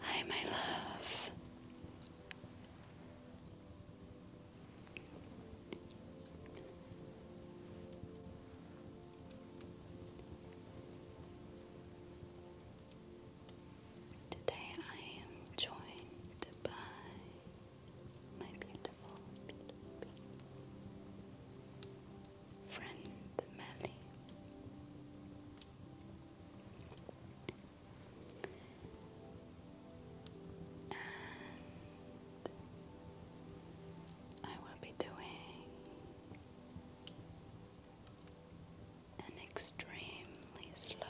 Hi, my love. Today I am joined by my beautiful, friend Melly and I will be doing an extremely slow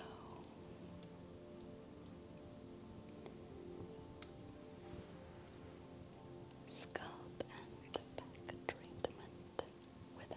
scalp and back treatment with her.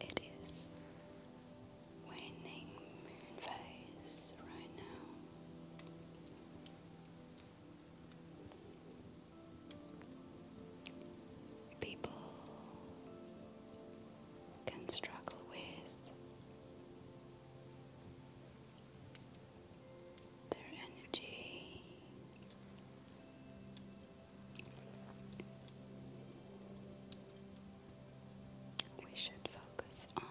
It is waning moon phase right now. People can struggle with their energy. We should focus on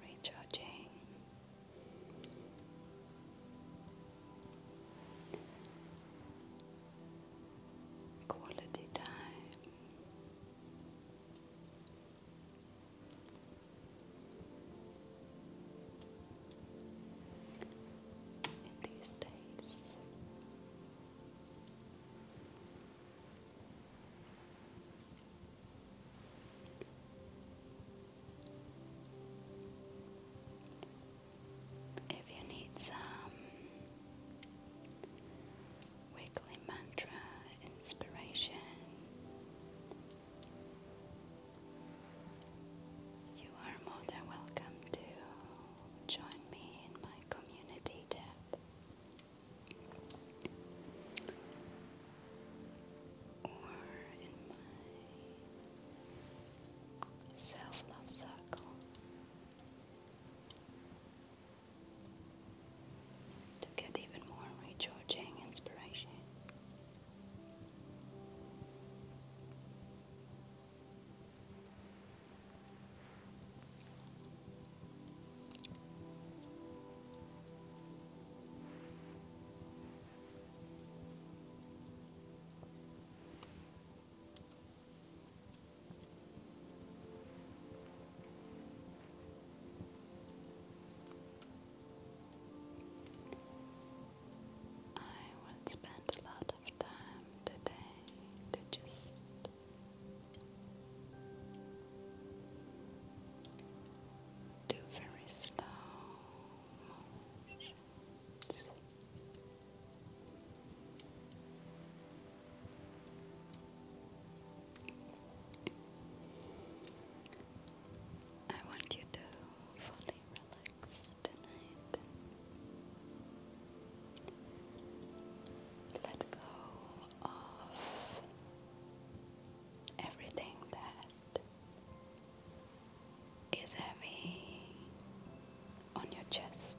recharging. Quality time. In these days, if you need some weekly mantra inspiration, you are more than welcome to join me in my community tab or in my self love cycle, to get even more recharging inspiration. I will spend a lot of time today to just do very slow I want you to fully relax tonight. Let go of everything that is heavy on your chest.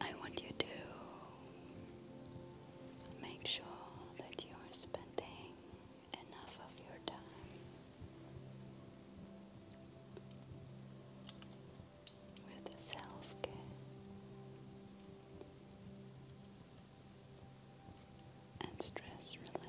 I want you to make sure that you are spending enough of your time. With self care and stress relief.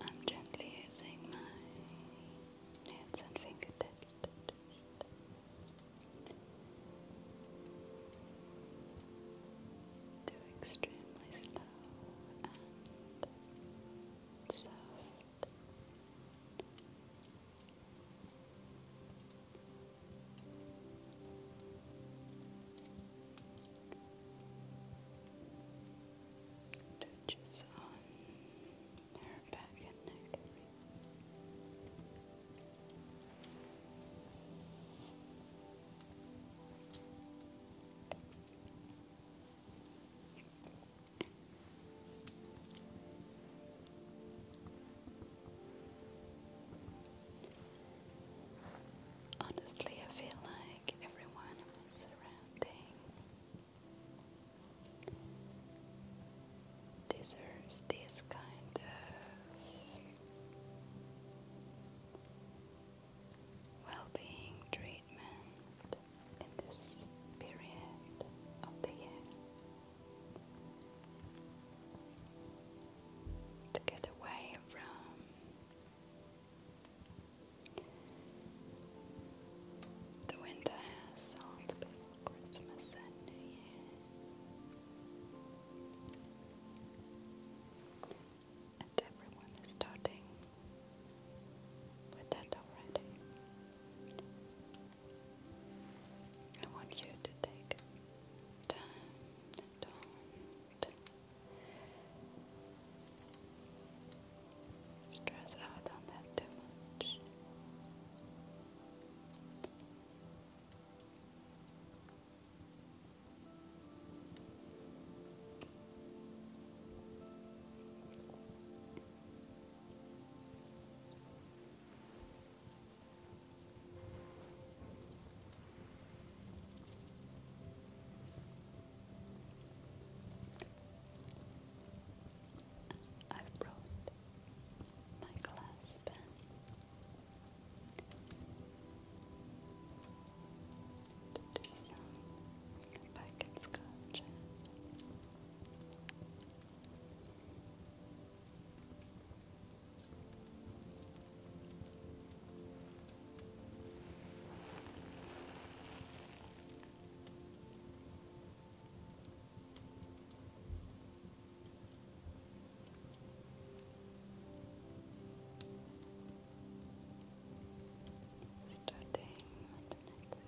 I'm gently using my hands and fingertips just do extremely slow and soft Touches on her back and neck area. Good. Honestly, I feel like everyone in my deserves this kind of well being treatment in this period of the year to get away from the winter assault before Christmas and New Year. And everyone is starting with that already. I want you to take time, don't stress out on that too much. I brought my glass pen. do some packet scotch Starting neck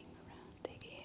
area. around the ear.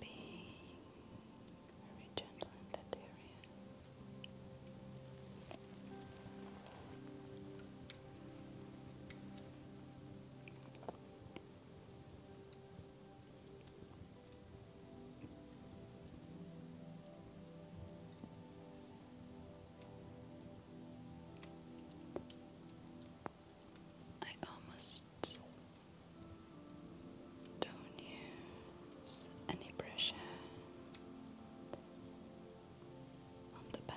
Being very gentle in that area. I almost don't use any pressure on the back.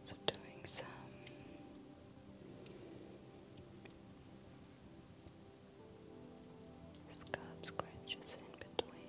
Also doing some scalp scratches in between.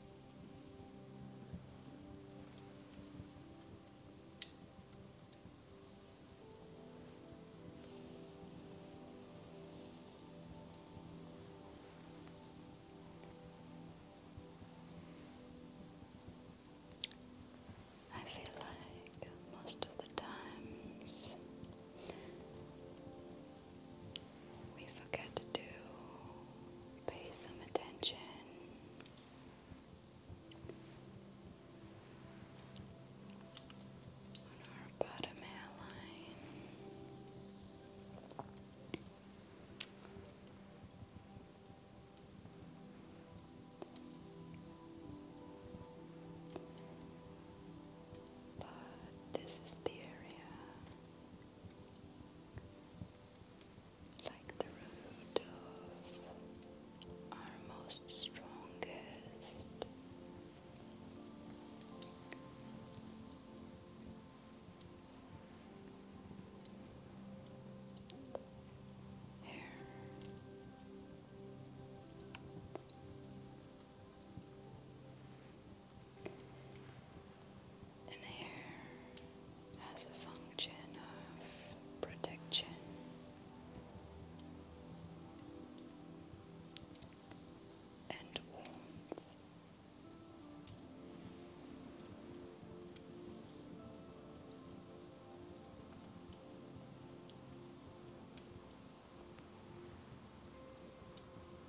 I feel like most of the times we forget to pay some attention. our bottom hairline, but this is the area like the root of our most strongest hair. And hair has a function of protection. And warmth.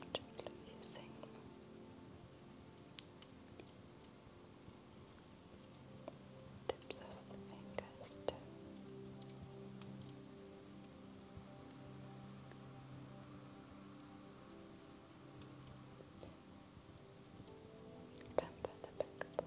particularly using tips of the fingers to about the pickleball.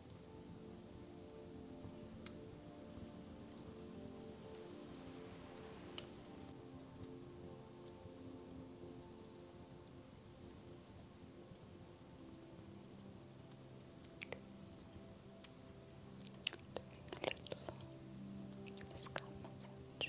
Doing a little scalp massage.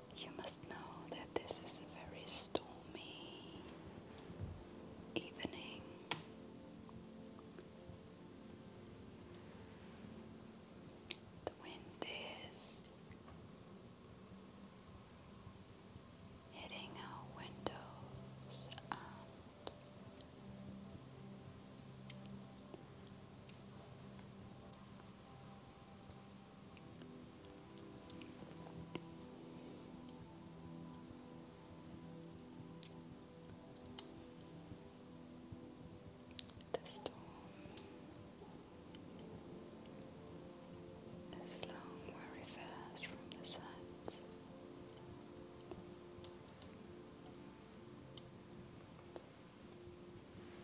You must know that this is a very stormy evening. The wind is hitting our windows the storm is flowing very fast from the sides.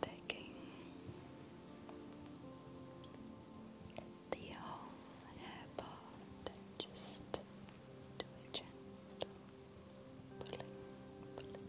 Taking the whole hair and just do pulling, pulling, pulling.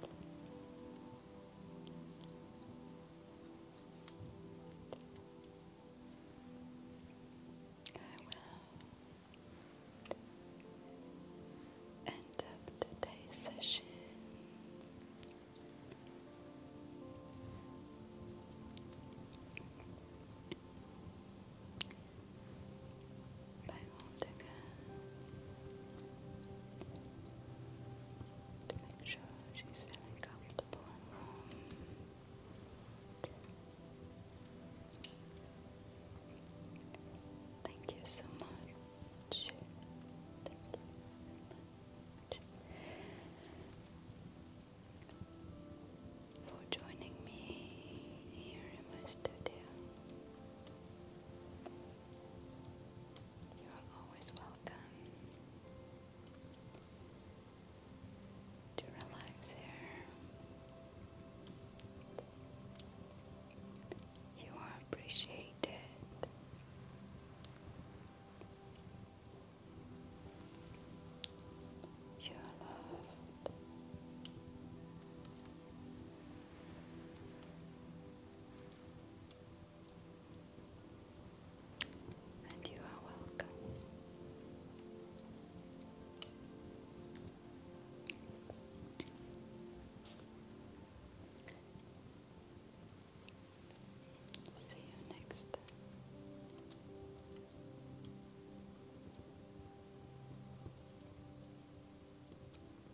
will end up today's session by Montega to make sure she's feeling comfortable and warm. Thank you so much. Thank you so much for joining me here in my studio. You're always welcome to relax here. You are appreciated. You are loved. And you are welcome. See you next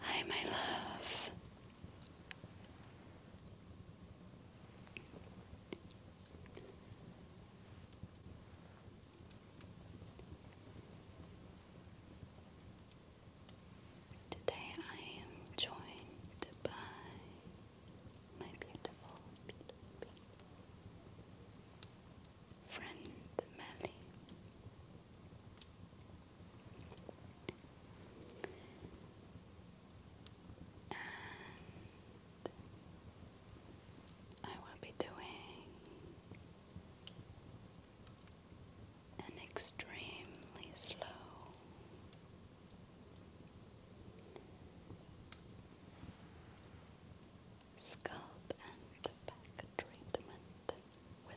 Hi, my love. Today I am joined by my beautiful, beautiful, beautiful friend Melly. And I will be doing an extremely slow scalp and back treatment with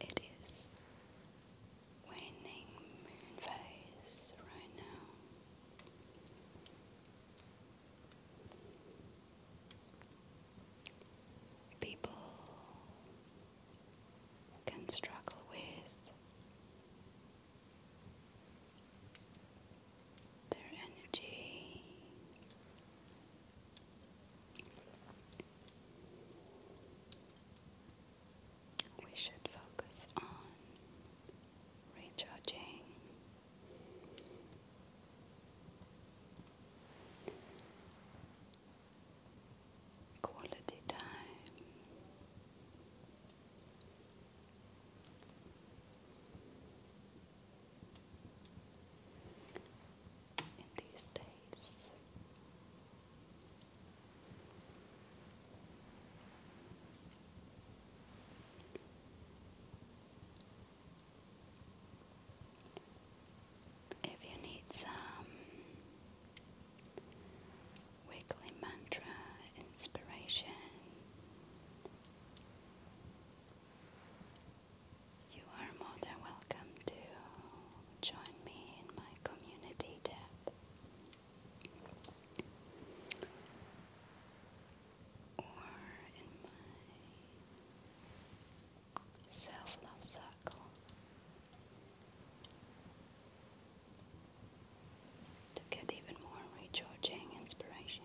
It is waning moon phase right now. People can struggle with their energy we should focus on recharging quality time in these days. If you need some weekly mantra inspiration, you are more than welcome to join me in my community tab. Or in my self love circle to get even more recharging inspiration.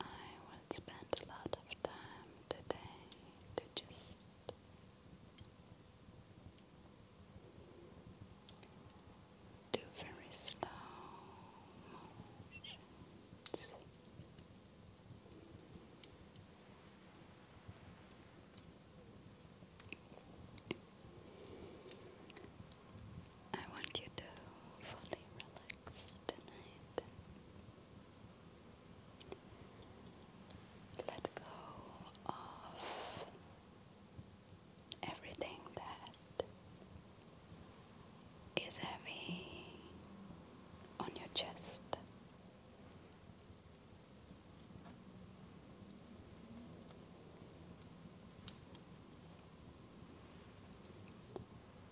I will spend a lot of time today to just do very slow I want you to fully relax tonight. Let go of everything that is heavy on your chest.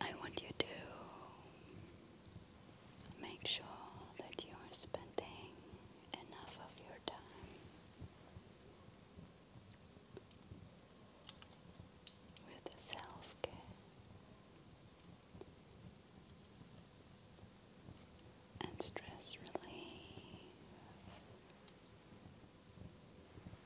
I want you to make sure that you are spending enough of your time with self care. And stress relief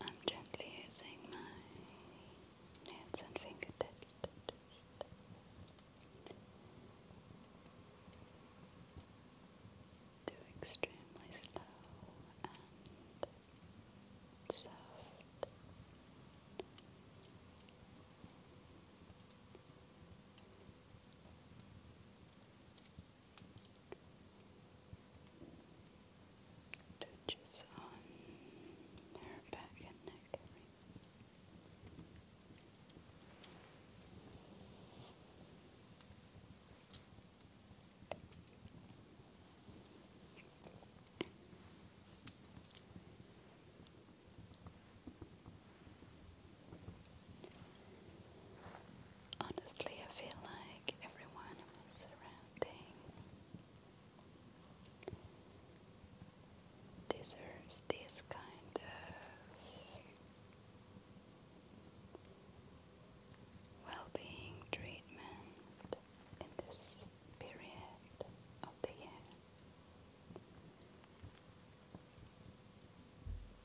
I'm gently using my hands and fingertips to do extremely slow and soft. Touches on her back and neck Honestly, I feel like everyone in my deserves this kind of well being treatment in this period of the year.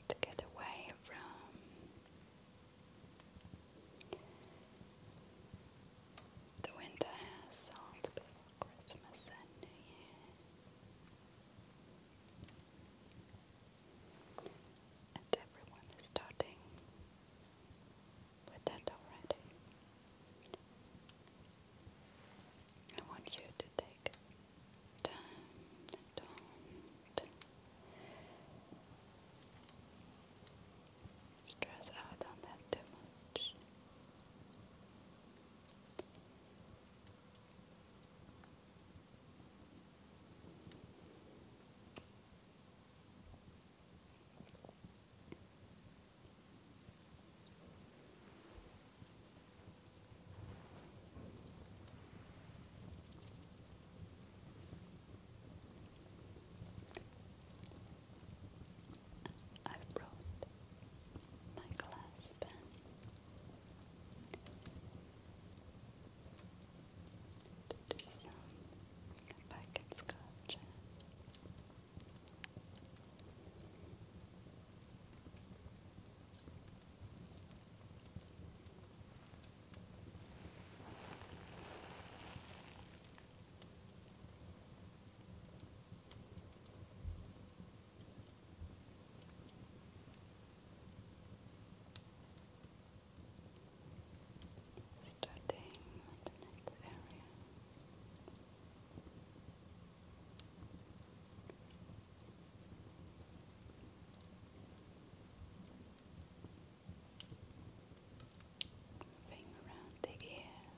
To get away from the winter assault. Christmas and New Year. And everyone is starting with that already. I want you to take time, don't stress out on that too much. I brought my glass pen. To do some packet scotch. Now Starting with the next area. Moving around the ear.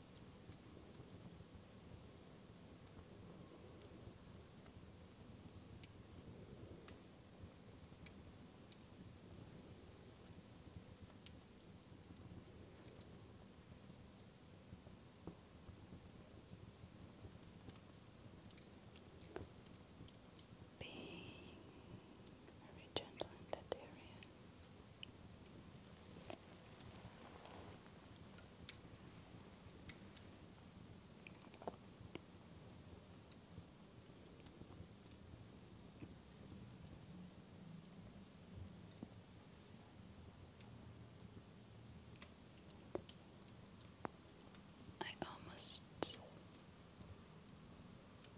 Being very gentle in that area. I almost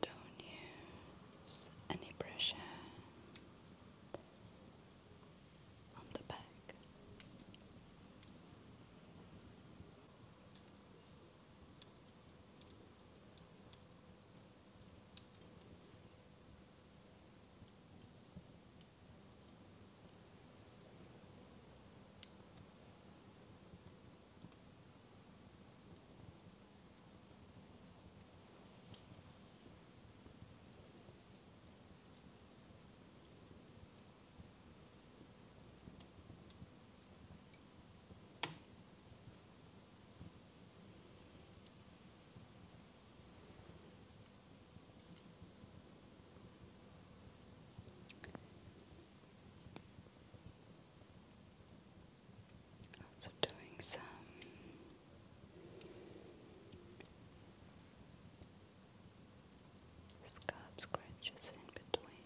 don't use any pressure on the back. Also doing some Scalp scratches in between.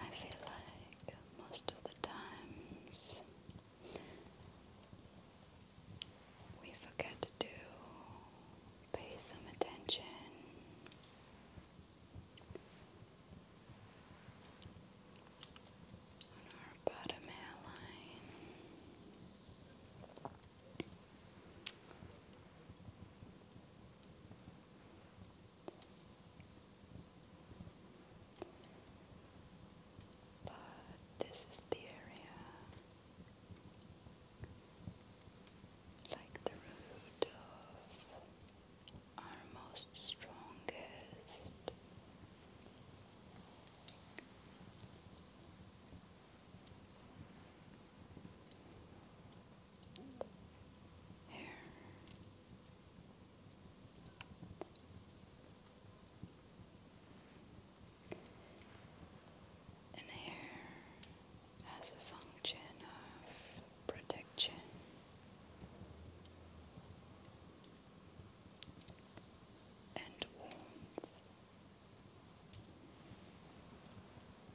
I feel like most of the times we forget to pay some attention on our bottom hairline. But this is the area like the root of our most strongest here. And hair has a function of protection. And warmth.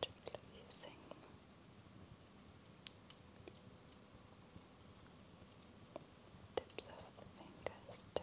Gently using tips of the fingers to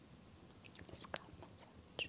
the scalp massage.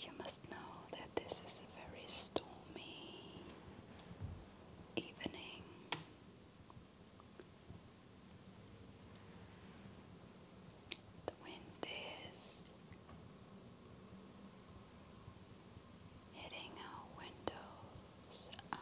You must know that this is a very stormy evening. The wind is hitting our windows and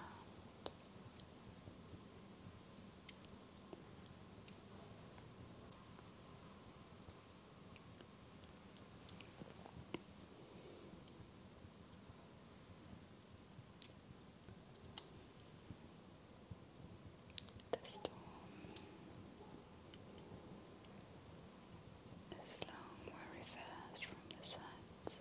the storm is flowing very fast from the sides.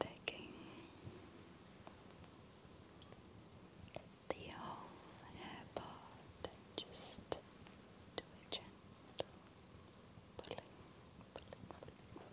Taking the whole hair part just do a gentle pulling, pulling, pulling,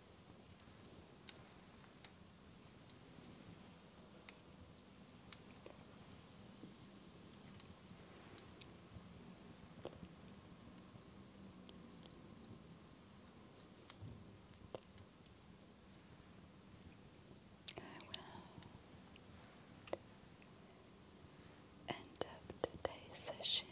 I will end up today's session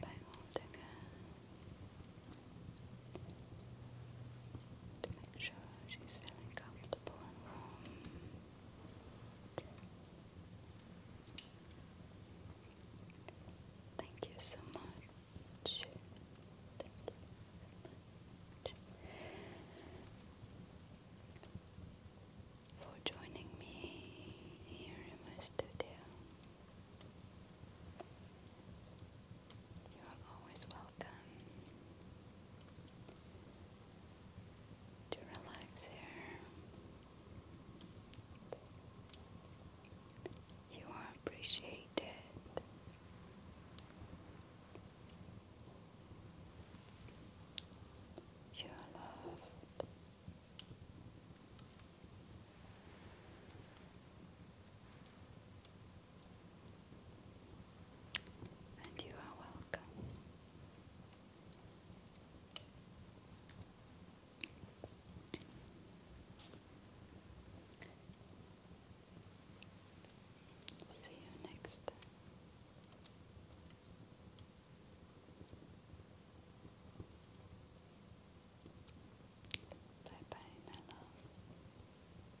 by holding her to make sure she's feeling comfortable and warm. Thank you so much for joining me here in my studio. You are always welcome to relax here. You are appreciated. You are loved. And you are welcome. See you next time. Bye bye, my love.